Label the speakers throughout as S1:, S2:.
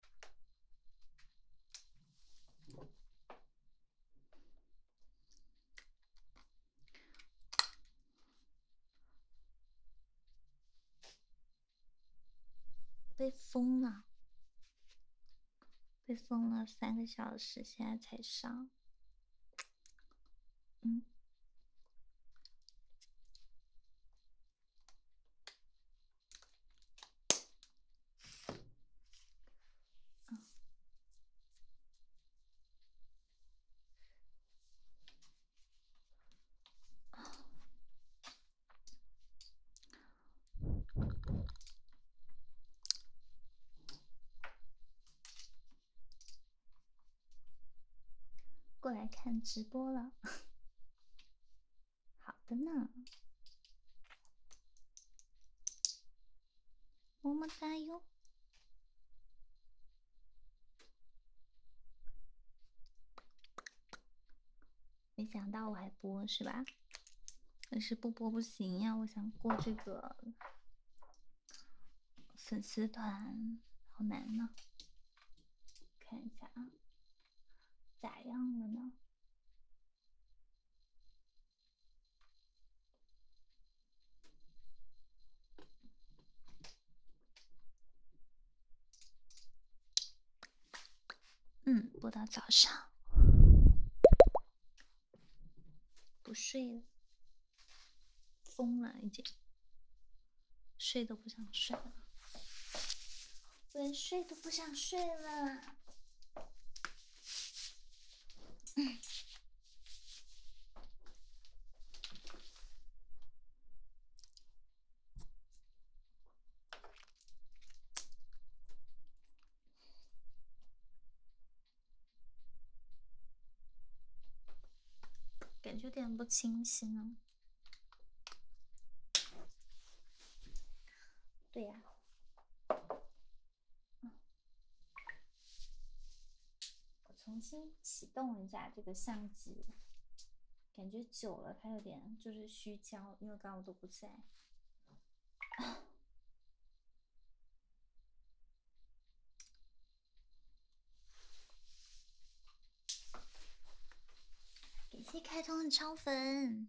S1: 被封了，被封了三个小时，现在才上。嗯。过来看直播了。好的呢，么么哒哟！没想到我还播是吧？但是不播不行呀，我想过这个粉丝团，好难呢。看一下啊，咋样了呢？嗯，播到早上，不睡了，疯了已经，睡都不想睡了。连睡都不想睡了，感觉有点不清晰呢。对呀，我重新启动一下这个相机，感觉久了它有点就是虚焦，因为刚我都不在。感 谢开通的超粉。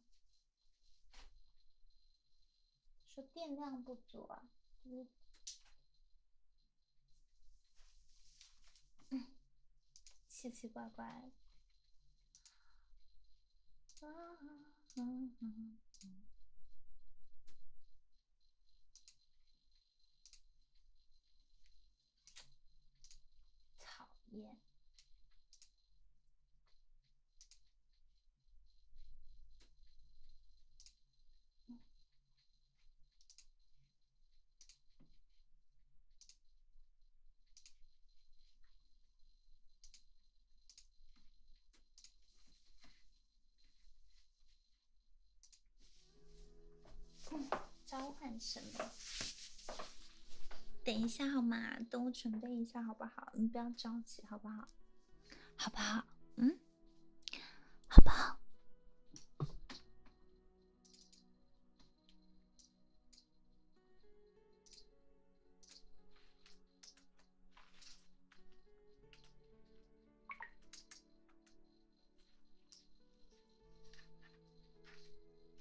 S1: 说电量不足啊，就是，嗯，奇奇怪怪。讨厌。召唤什么？等一下好吗？等我准备一下好不好？你不要着急好不好？好不好？嗯？好不好？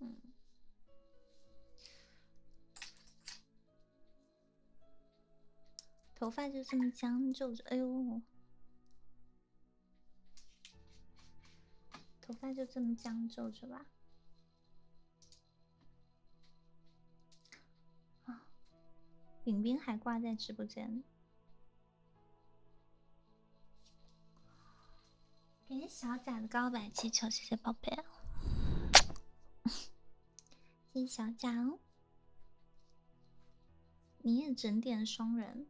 S1: 嗯，头发就这么将就着，哎呦，头发就这么将就着吧。啊，饼饼还挂在直播间，感谢小贾的告白气球，谢谢宝贝，谢谢小贾哦，你也整点双人，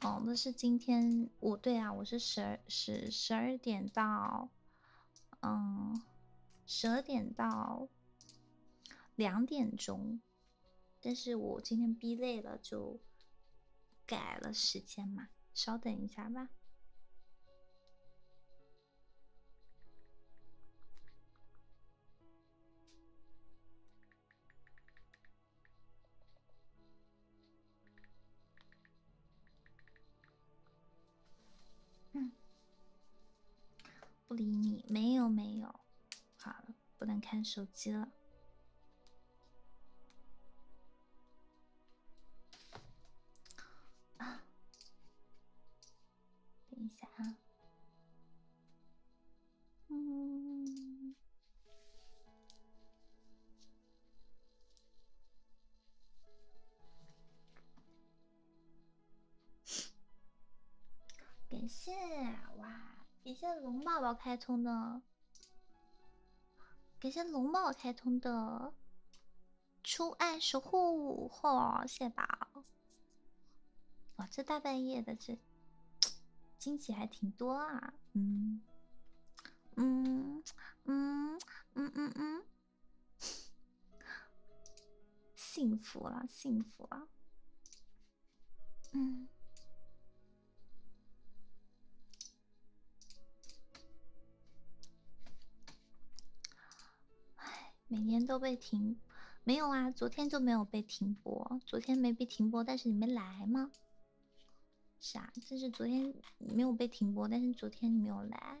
S1: 哦，那是今天我对啊，我是十二十十二点到，嗯，十二点到。两点钟，但是我今天逼累了，就改了时间嘛，稍等一下吧。不理你，没有没有，好了，不能看手机了。啊，等一下啊。
S2: 嗯。
S1: 感谢哇！感谢龙宝宝开通的，感谢龙宝开通的初爱守护，哇，谢谢宝！哇，这大半夜的，这惊喜还挺多啊，嗯嗯嗯嗯嗯嗯。幸福了，幸福了。嗯，哎，每天都被停，没有啊，昨天就没有被停播，昨天没被停播，但是你没来吗？啥？就是昨天没有被停播，但是昨天你没有来。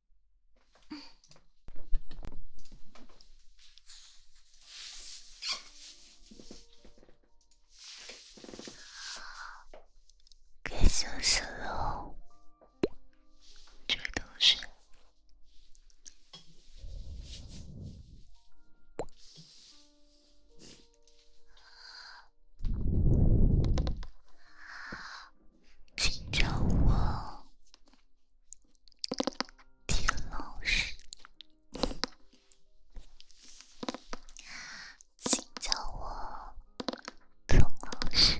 S2: 该休息了，这位同学，请叫我。田老师，请叫我彭老师。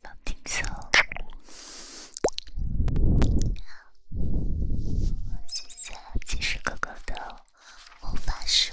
S2: 萌听松，好，写下骑士哥哥的魔法书。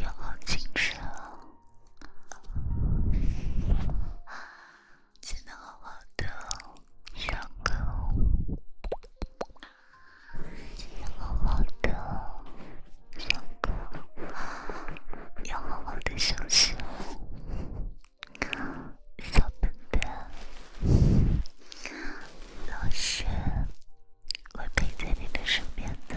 S1: 要好好精神哦，记得好好的上课，好好的上课，要好好的休息哦，小笨蛋，老师。我可以在你的身边呢。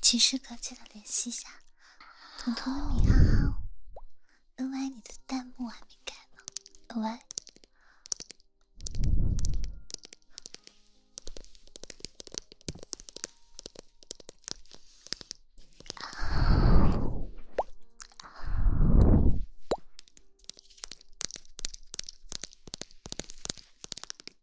S1: 骑士哥，记得联系一下彤彤米哈哈。另外，你的弹幕还没改吗？另外。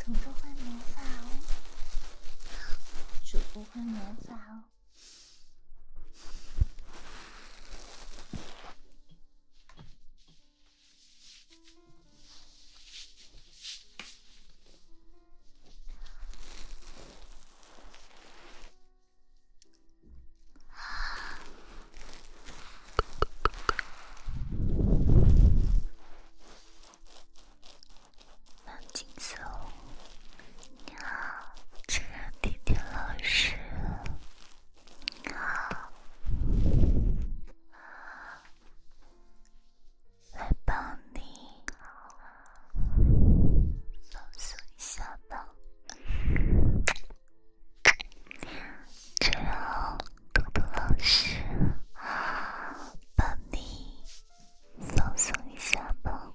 S1: 彤彤换魔法哦，主播换魔法哦。蓝金色，你好，这个甜甜老师，你好，来帮你放松一下吧。就让豆豆老师帮你放松一下吧。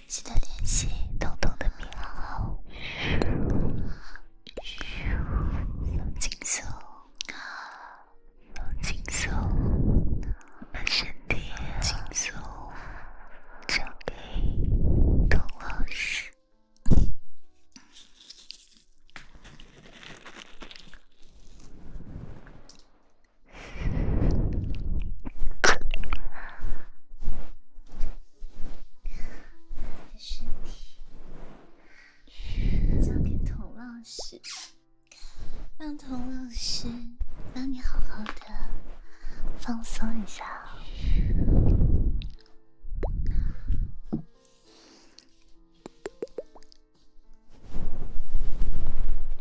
S1: 记得联系彤彤的微信号。放松，放松，把身体放松，交给彤老师。你的身体交给童老师，让童老师帮你好好的放松一下。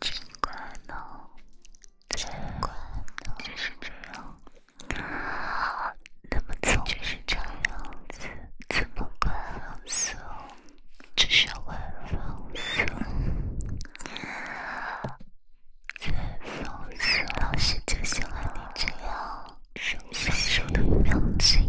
S2: 尽管呢，尽管呢，就是这样，怎么总是这样子？怎么宽松？只想宽松，宽松。老师就喜欢你这样手牵手的表情。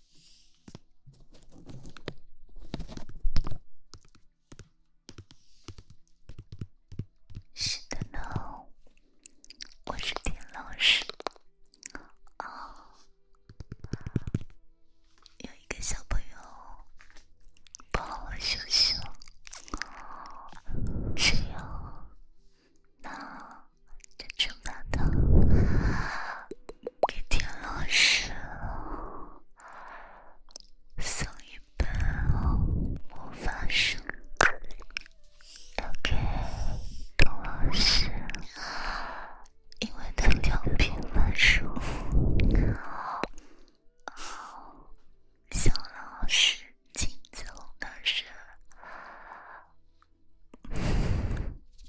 S2: 是的呢，我是田老师。哦，有一个小朋友帮我收收，只有那珍珠馒头。给田老师送一本魔法书。OK，董老师，英文的两篇范文书。好，小老师，请奏乐声。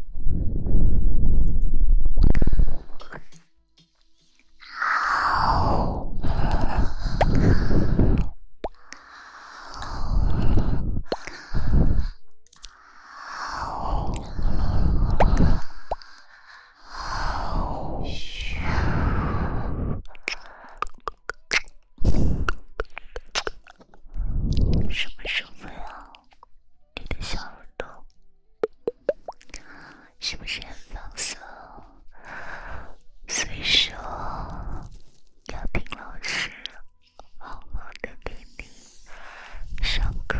S2: 啊！嘘！什么身份啊？你的小耳朵是不是很放松？所以说，要听老师好好的给你上课。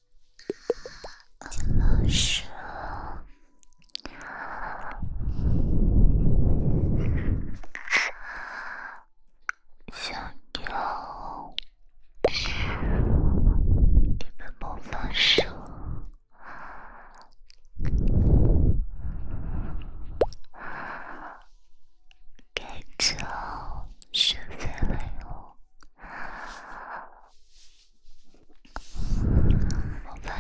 S2: 金老你们别放手，该走学费了。我发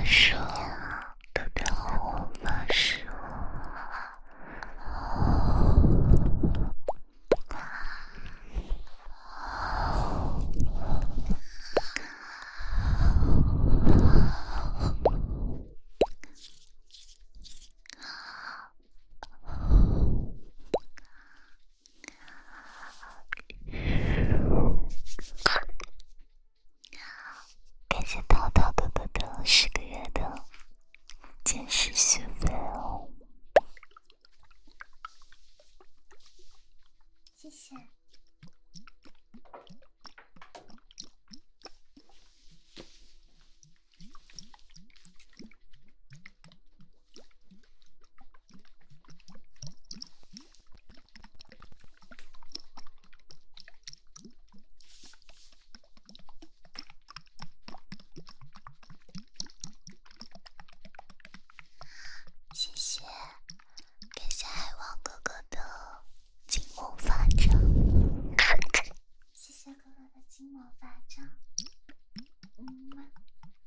S2: 誓，都对我发誓。感谢淘淘的的的十个月的坚持学费哦。谢谢。谢谢，感谢海王哥哥的金毛法杖。谢谢哥哥的金法杖。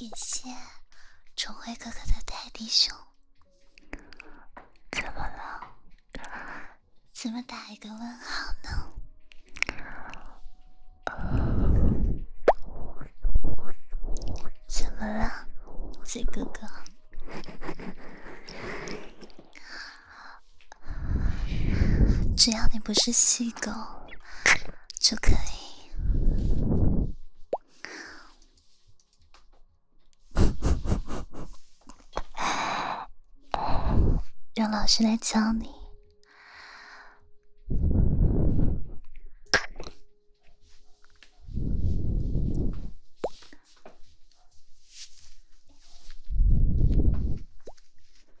S1: 感谢重辉哥哥的泰迪熊。怎么了？怎么打一个问号呢？
S2: 怎么了，
S1: 醉哥哥？只要你不是细狗，就可以。让老师来教你。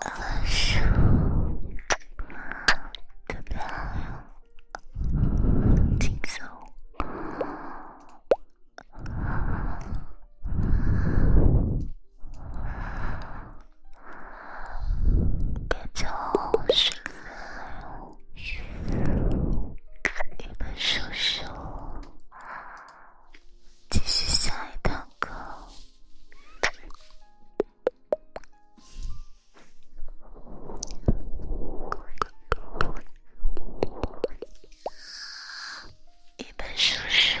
S1: 难受，特别轻松，感觉睡了。一本叔叔，继续下一堂课。一本叔叔。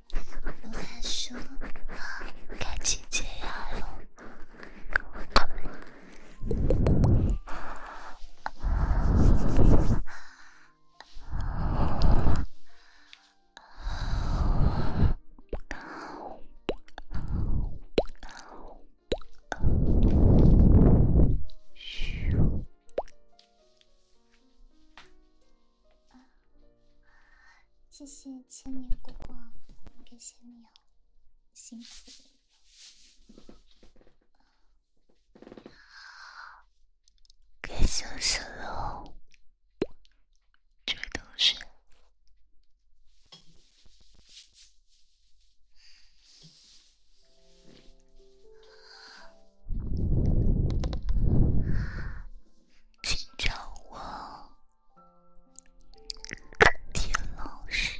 S1: 不敢说，感情解药。啊！谢谢千年果果，感谢你哦，辛苦。
S2: 好，感谢小龙，这位同学。请叫我田老师。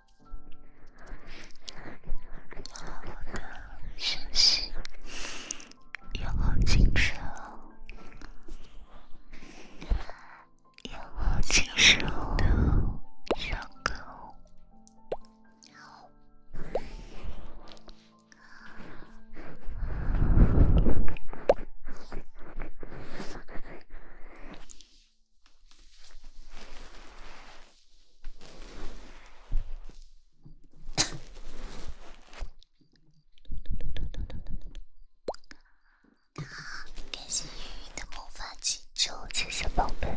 S2: 要好的休息，要精神，要精神的狗狗。感谢云云的魔法气球，谢谢宝贝。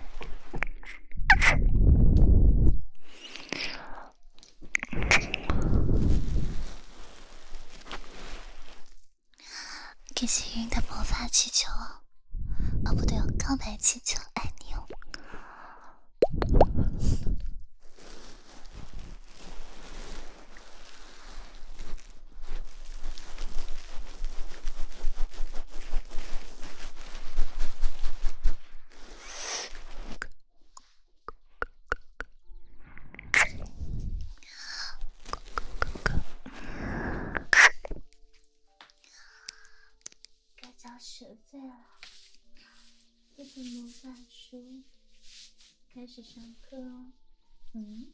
S1: 感谢云云的魔法气球。哦，不对，告白气球，爱你哦。该交学费了，这本魔法书，开始上课，嗯。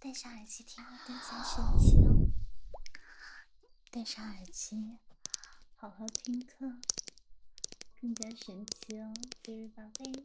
S1: 戴上耳机听，更加神奇哦。戴上耳机，好好听课，更加神奇哦。宝贝。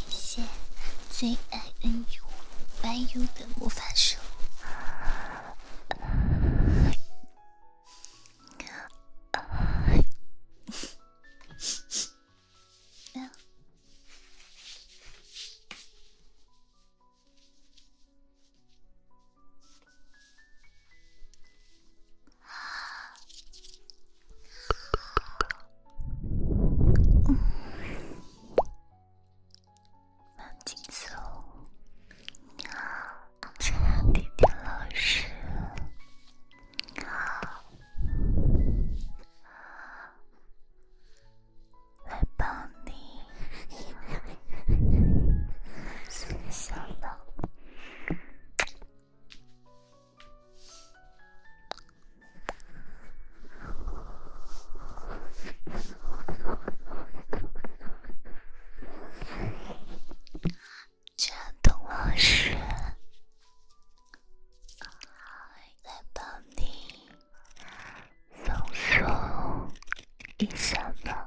S1: 感谢最爱恩 u 白 u 的魔法书。
S2: 慢节奏。你好，甜甜老师。好，来帮你实现梦想喽。家栋老师，再帮你放松一下吧。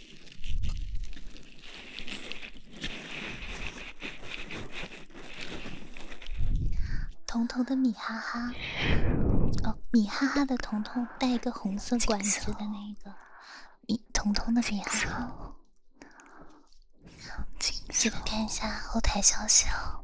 S1: 彤彤的米哈哈，哦，米哈哈的彤彤带一个红色管子的那个米，彤彤的米哈哈，记得看一下后台消息哦。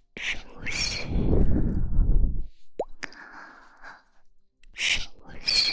S1: 深呼吸，深呼吸。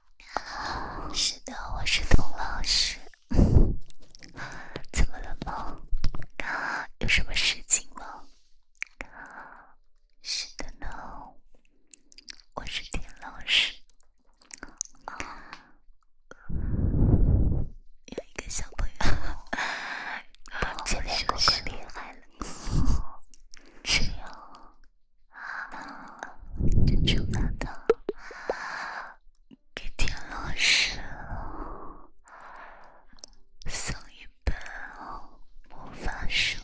S2: 是的，我是童老师。怎么了吗？有什么事情吗？是的呢，我是田老师。有一个小朋友，今天故事厉害了，是 呀。悄悄地给田老师送一本魔法书，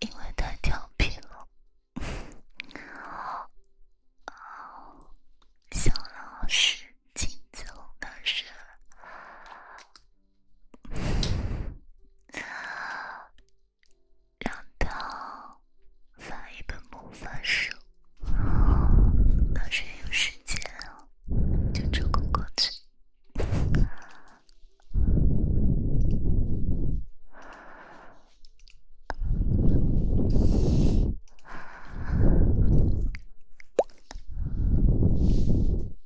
S2: 因为太调皮了。小老师惊叫了一声。让他翻一本魔法书，到时有时间就抽空过去。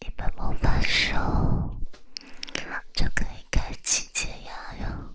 S1: 一般不分手就可以开启解压哟。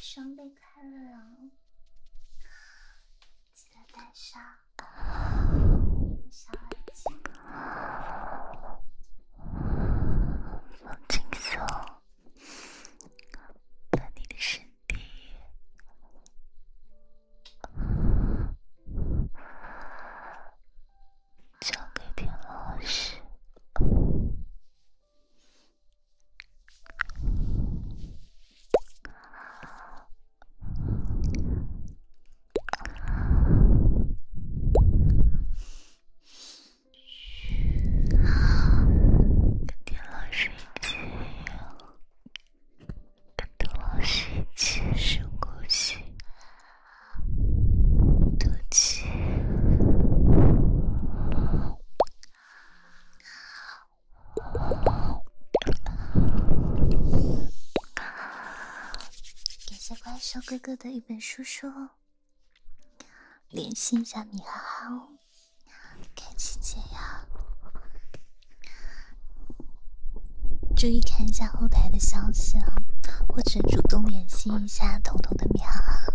S1: 双倍开朗。记得带上小耳机，放松，把你的身体交给田老师。跟田老师一起，跟董老师一起深呼吸，吐气。感谢怪兽哥哥的一本书说，联系一下米哈哈哦，开启解药。注意看一下后台的消息啊，或者主动联系一下彤彤的米哈哈。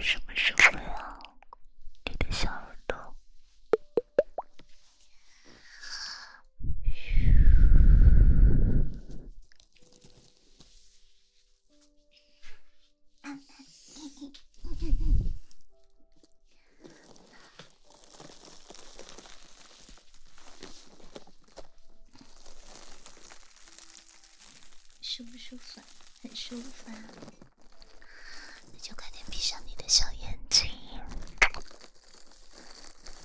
S2: 什么时候了？你的小耳朵。
S1: 舒不舒服？很舒服，那就快点闭上你的小眼睛。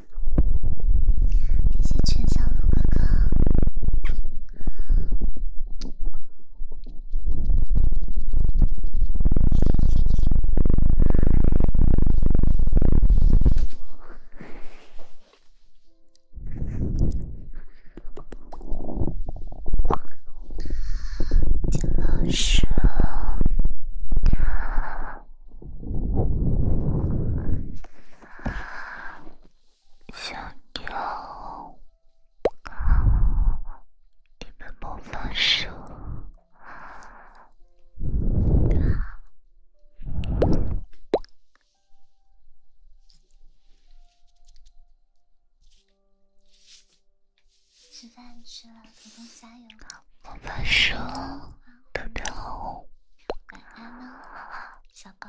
S1: 谢谢全小鹿哥哥，田老师。小牛，你们莫放手。吃饭吃了，老公加油，好。莫放手。宝宝，晚安喽，小高。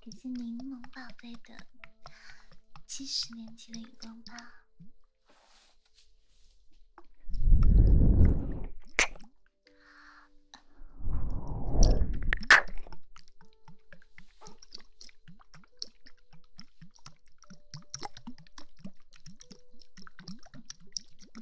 S1: 感谢柠檬宝贝的七十年前的荧光棒。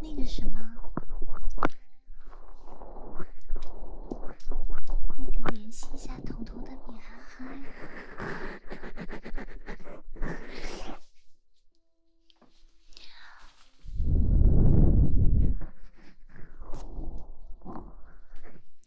S1: 那个什么，那个联系一下彤彤的米哈哈。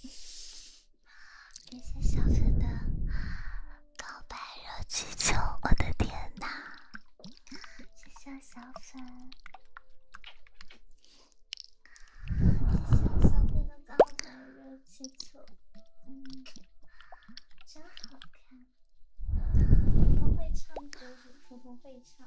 S1: 谢谢小粉的告白热气球，我的天哪！谢谢小粉，谢谢小粉的告白热气球，嗯，真好看。我会唱，就是普通会唱。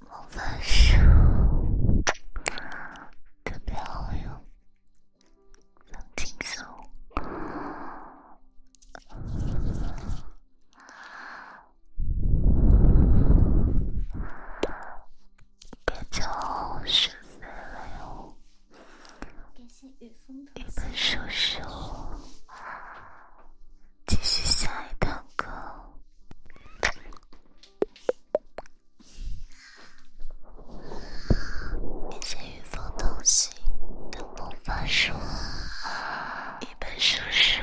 S2: 魔法书特别好用，能轻松。叫了哟，继续下一堂课。一些预防东西，等我发说，一本书书。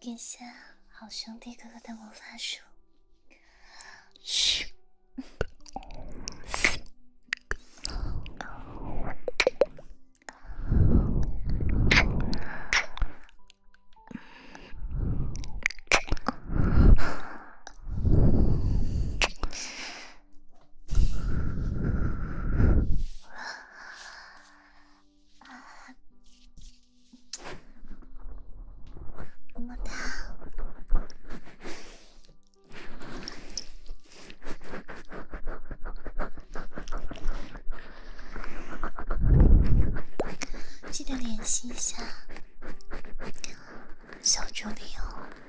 S1: 感 谢好兄弟哥哥的魔法书。么哒，记得联系一下小助理哦。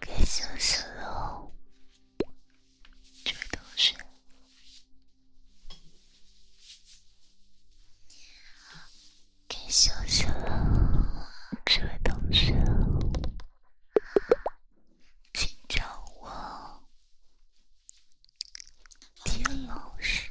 S2: 该休息雪，这位同学；该休息了，这位同学，请叫我田老师。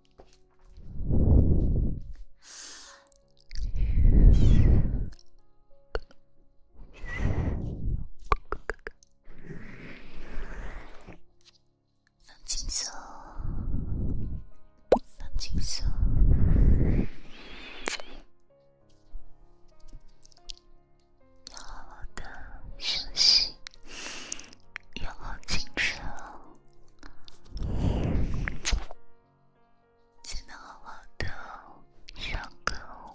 S2: 放松，放松，好的，休息，好进入。记得好好的上课哦。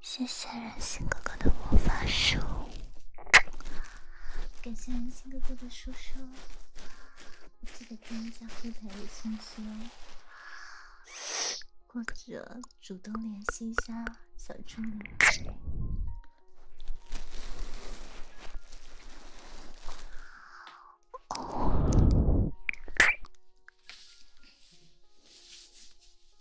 S2: 谢谢人心哥哥的魔法书，
S1: 感谢人心哥哥的叔叔，记得看一下后台的信息哦，或者主动联系一下小助理。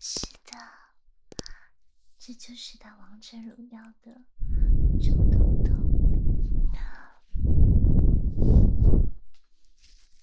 S1: 是的，这就是打王者荣耀的周通通。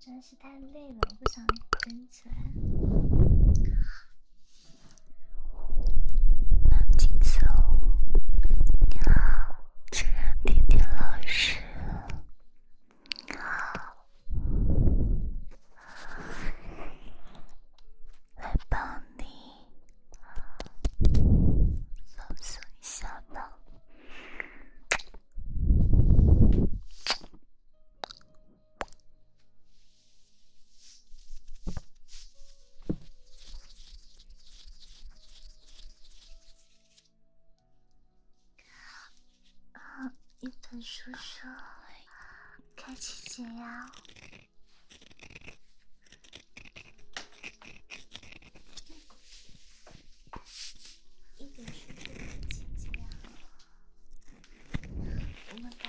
S2: 真是太累了，我不想再起来。安静，走。你好，智能 PPT 老师，好，来帮你放松一下脑。嗯，一本书说，开启解压。一本书说，开启解压。我们走。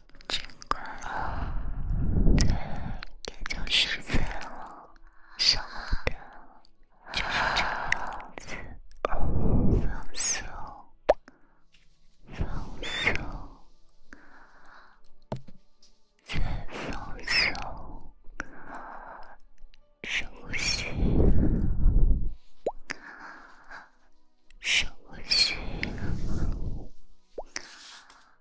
S2: 尽快，对，应该就十岁了，什么的，就是这个样子。放松，放松，再放松，休息，休息。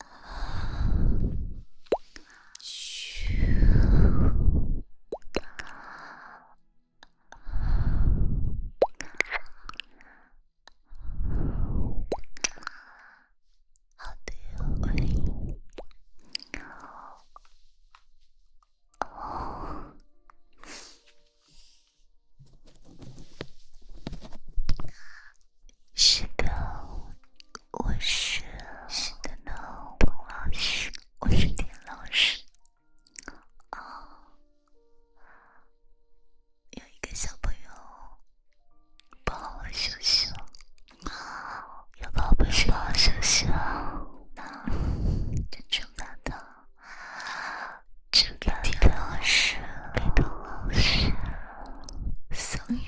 S2: How do you agree? Oh. 是的，我是是的呢，彭老师，我是田老师。哦，有一个小朋友不好好休息了，有宝贝好好休息了，真勇敢的，勇敢的老师，丁老师，声你。